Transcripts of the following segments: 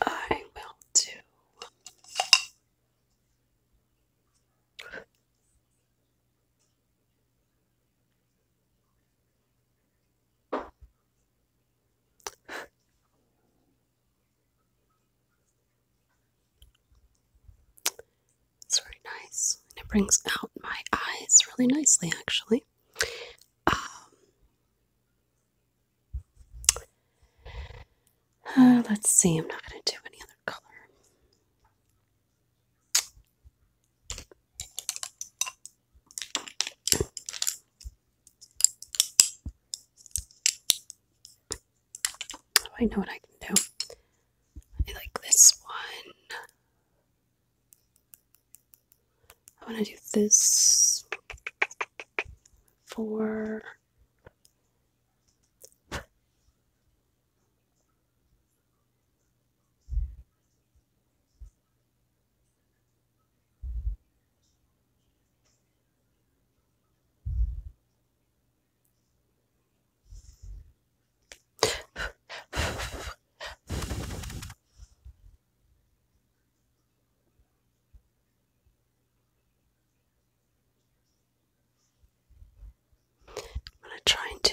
I will do it's very nice and it brings out my eyes really nicely actually um, uh, let's see, I'm not going to do any other color. I know what I can do. I like this one. I want to do this for I'm going to try and do.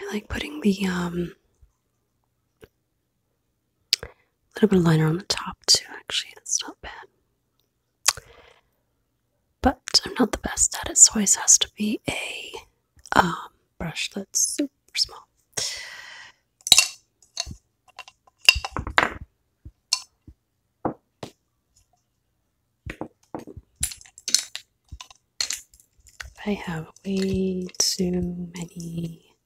I like putting the um, little bit of liner on the top too. Actually, that's not bad. But I'm not the best at it, so always has to be a um, brush that's super small. I have way too many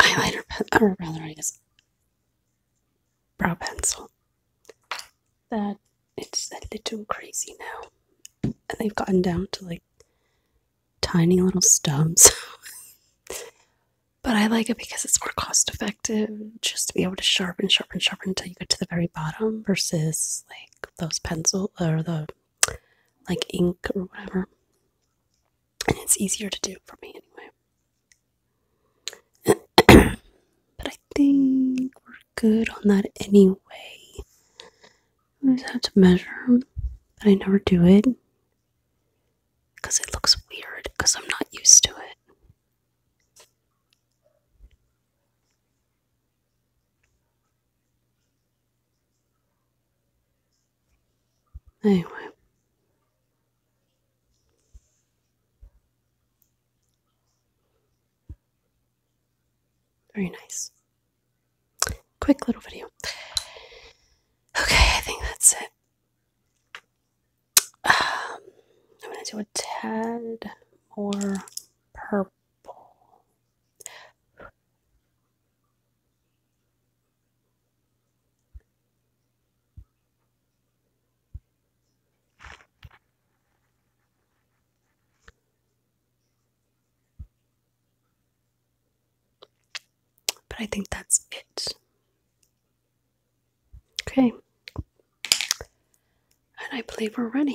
highlighter, pen, or rather, I guess, brow pencil. That it's a little crazy now, and they've gotten down to like tiny little stubs. but I like it because it's more cost effective just to be able to sharpen, sharpen, sharpen until you get to the very bottom versus like those pencils or the like ink or whatever. And it's easier to do for me anyway. but I think we're good on that anyway. I always have to measure, but I never do it because it looks weird because I'm not used to it. Anyway. Very nice quick little video. Okay, I think that's it. Um, I'm gonna do a tad more purple. But I think that's it. Okay. And I believe we're ready.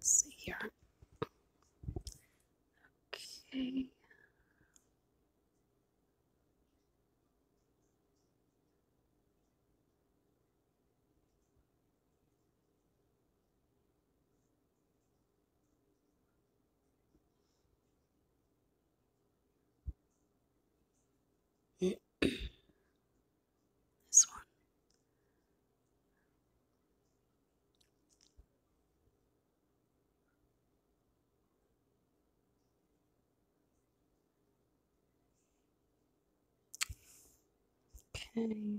see here. Okay this one. Okay.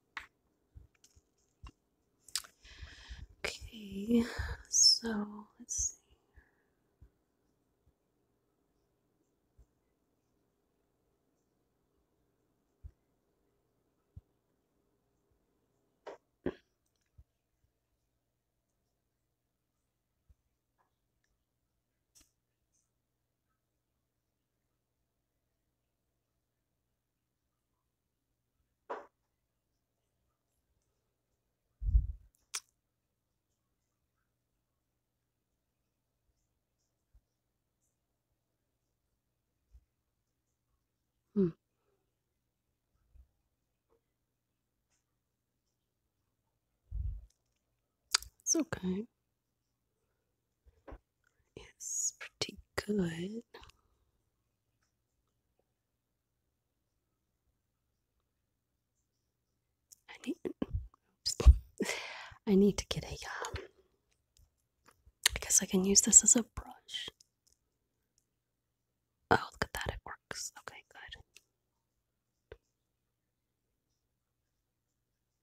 Okay, so let's see. Hmm. It's okay. It's pretty good. I need, I need to get a, um, guess I can use this as a brush. Oh, look at that, it works. Okay, good.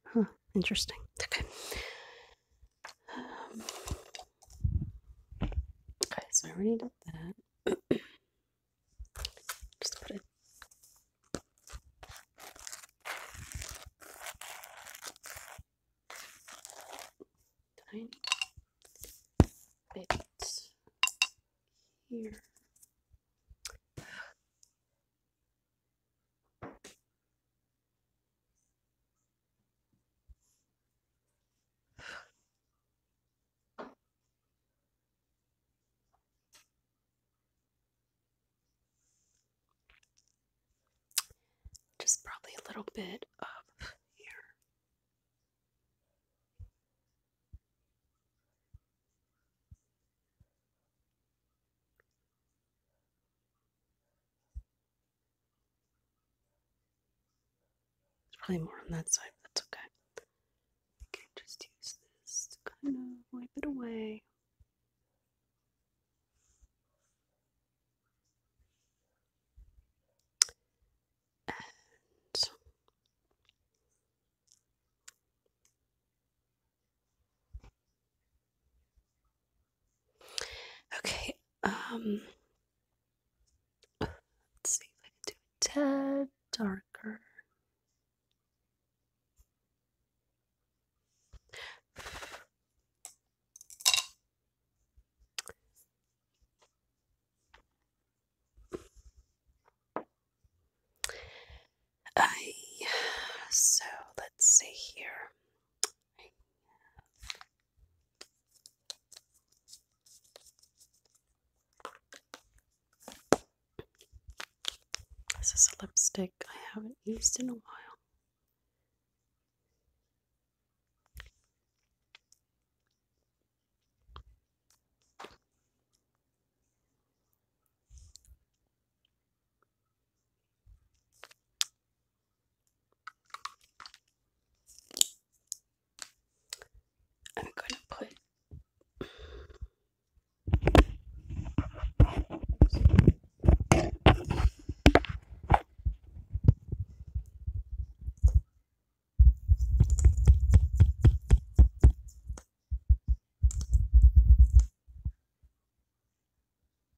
Huh, interesting. Okay. Um, okay, so I already did that. Just put it. Tiny bit here. Just probably a little bit up here. It's probably more on that side, but that's okay. I can just use this to kind of wipe it away. Okay, um, let's see if I can do a tad darker. I so let's see here this is a lipstick I haven't used in a while. I'm going to put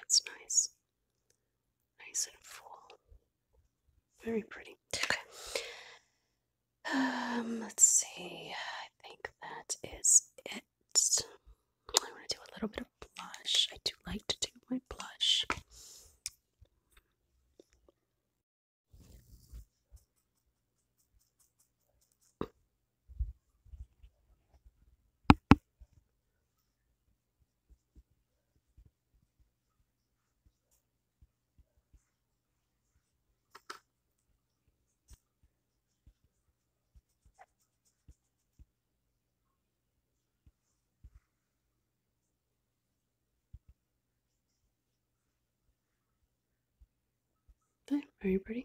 That's nice. Nice and full. Very pretty. Okay. Um, let's see. I think that is it. I want to do a little bit of blush. I do like to do my blush are very pretty.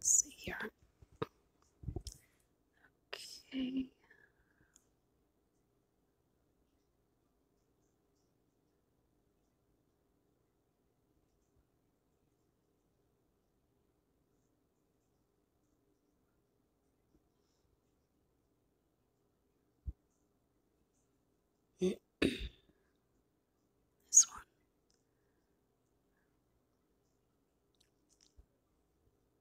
see here. Okay. this one.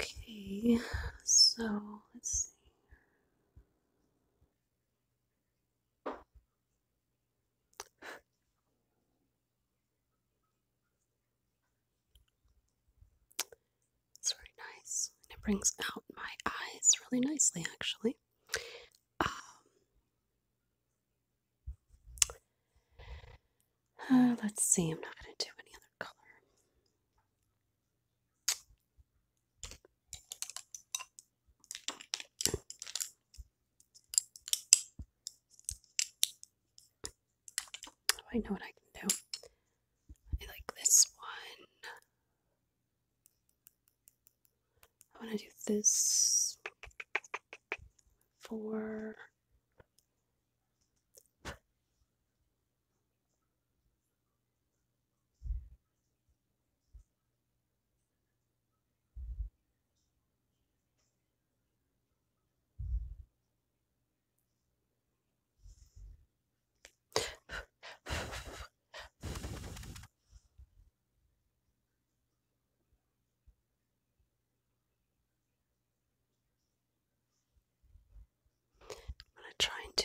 Okay, so let's see. It's very nice, it brings out my eyes really nicely, actually. Um, uh, let's see, I'm not going to do any other color. I know what I can do. I like this one. I want to do this for. I'm going to try and do.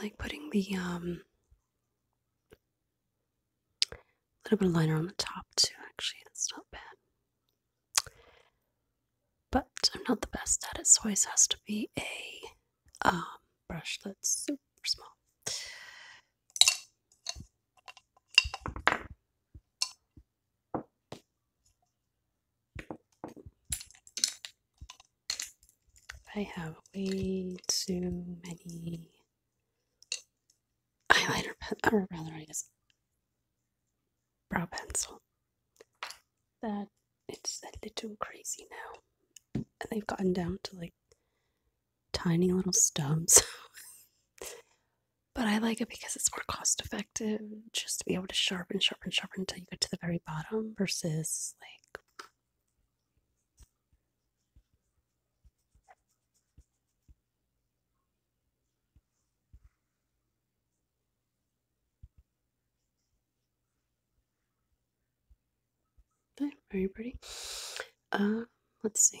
I like putting the um a little bit of liner on the top, too, actually. That's not bad. But I'm not the best at it, so I always have to be a um, brush that's super small. I have way too many eyeliner pen, or rather, I guess, brow pencil. That it's a little crazy now. And they've gotten down to like tiny little stubs. but I like it because it's more cost effective just to be able to sharpen, sharpen, sharpen until you get to the very bottom versus like are you pretty. Uh, let's see.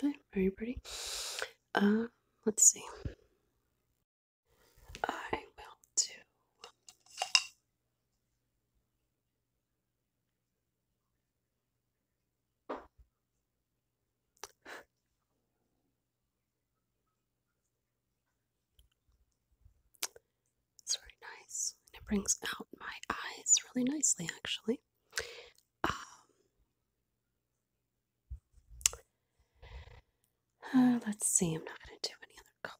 But very pretty. Uh, let's see. I will do. It's very nice and it brings out my eyes really nicely, actually. Um, uh, let's see, I'm not going to do any other color.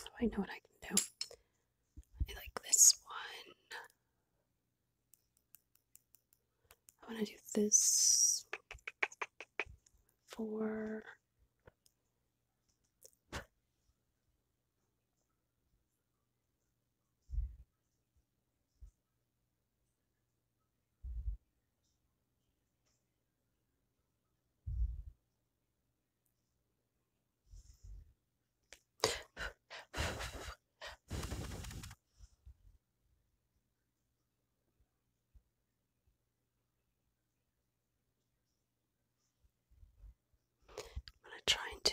Oh, I know what I can do. I like this one. I want to do this for. I'm going to try and do.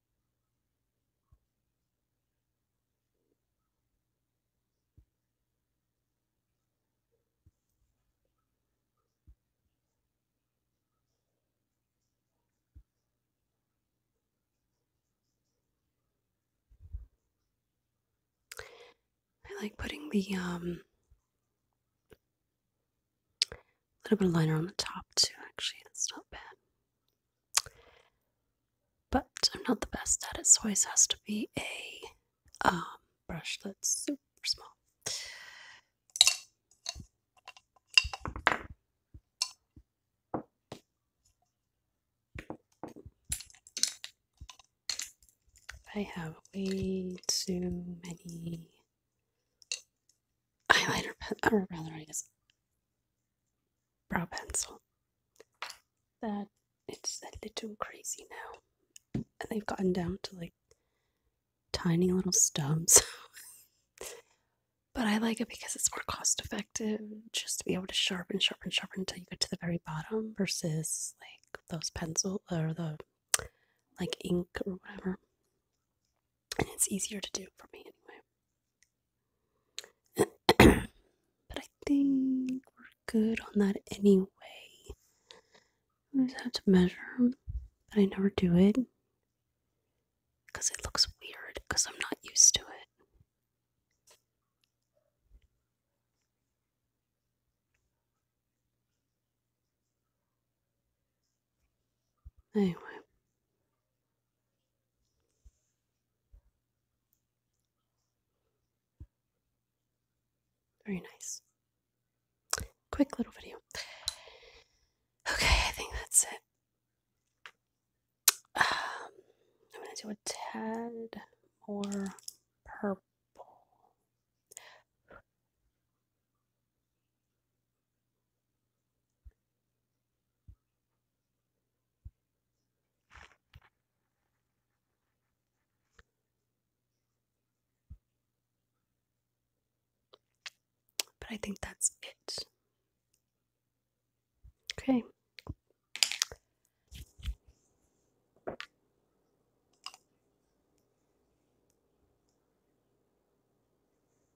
I like putting the um, little bit of liner on the top too actually that's not bad but I'm not the best at it, so it has to be a um, brush that's super small. I have way too many highlighter pens, or rather, I guess brow pencil. That it's a little crazy now. And they've gotten down to like tiny little stubs. but I like it because it's more cost effective just to be able to sharpen, sharpen, sharpen until you get to the very bottom versus like those pencils or the like ink or whatever. And it's easier to do for me anyway but I think we're good on that anyway. I just have to measure, but I never do it because it looks weird because I'm not used to it. Anyway. Very nice. Quick little video. Okay, I think that's it. Um, I'm going to do a tad more purple. But I think that's it. Okay.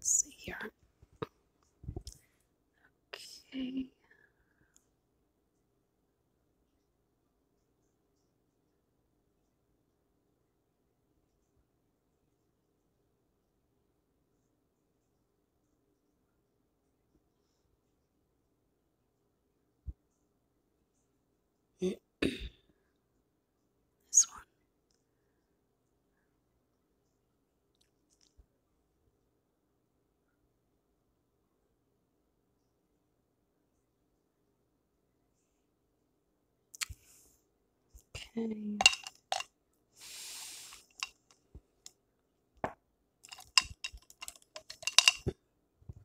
see here. Okay. Mm this one. Okay.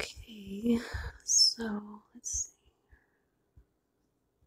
Okay, so let's see.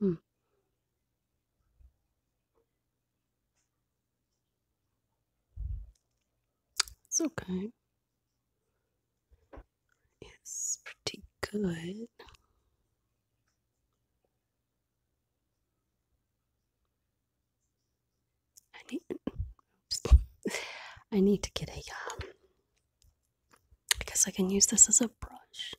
Hmm. It's okay. It's pretty good. I need. I need to get a. Um, I can use this as a brush.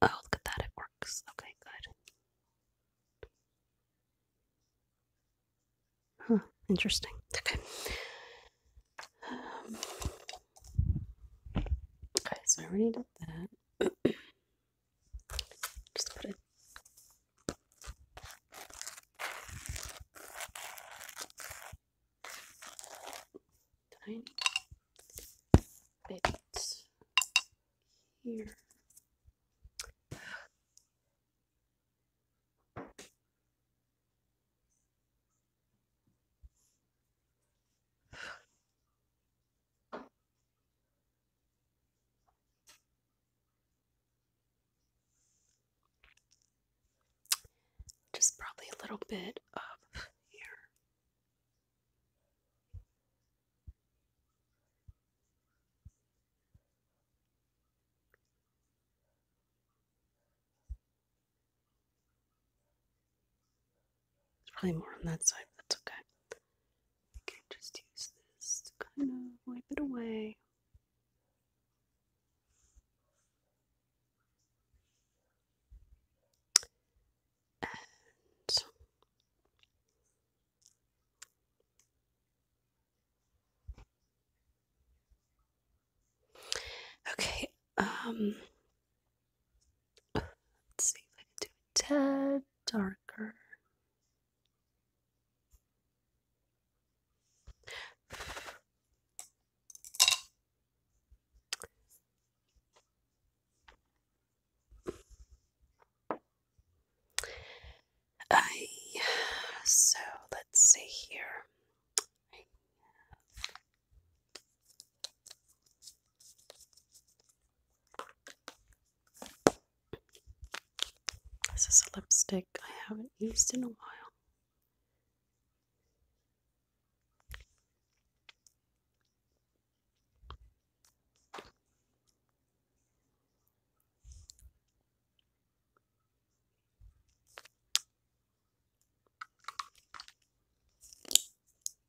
Oh, look at that! It works. Okay, good. Huh. Interesting. Okay. Um, okay, so I already did that. Just put it. Tiny bit here. Just probably a little bit of here. There's probably more on that side, but that's okay. I can just use this to kind of wipe it away. okay, um, let's see if I can do a tad darker. I so let's see here. This is a lipstick I haven't used in a while.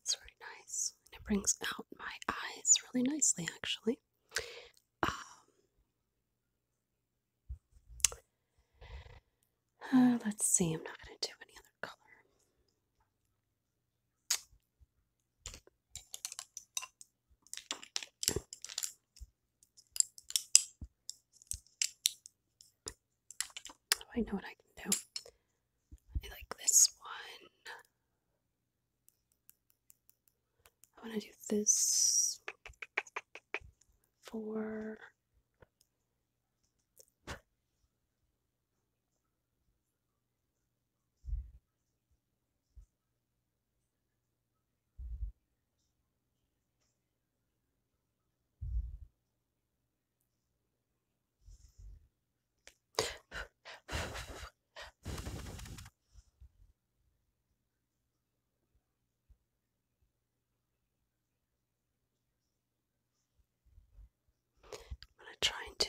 It's very nice, it brings out my eyes really nicely, actually. Um, uh, let's see, I'm not going to do any other color. Oh, I know what I can do. I like this one. I want to do this for. I'm going to try and do.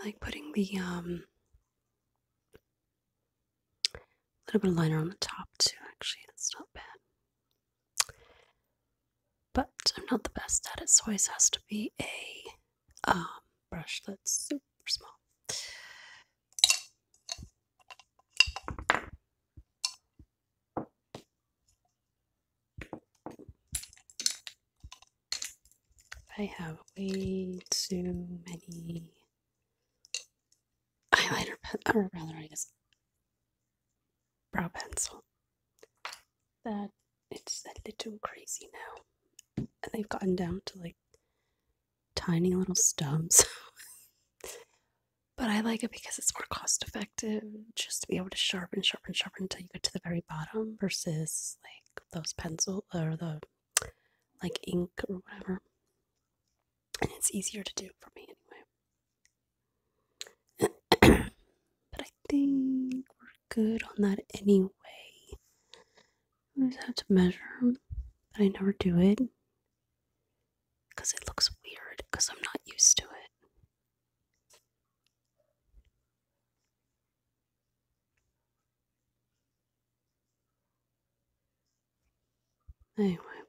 I like putting the um a little bit of liner on the top too actually that's not bad but I'm not the best at it, so always has to be a um, brush that's super small. I have way too many highlighter, pens, rather, I guess brow pencil that it's a little crazy now. And they've gotten down to like tiny little stubs. but I like it because it's more cost effective just to be able to sharpen, sharpen, sharpen until you get to the very bottom versus like those pencil or the like ink or whatever and it's easier to do for me anyway. but I think we're good on that anyway. I always have to measure, but I never do it because it looks weird because I'm not used to it. Anyway.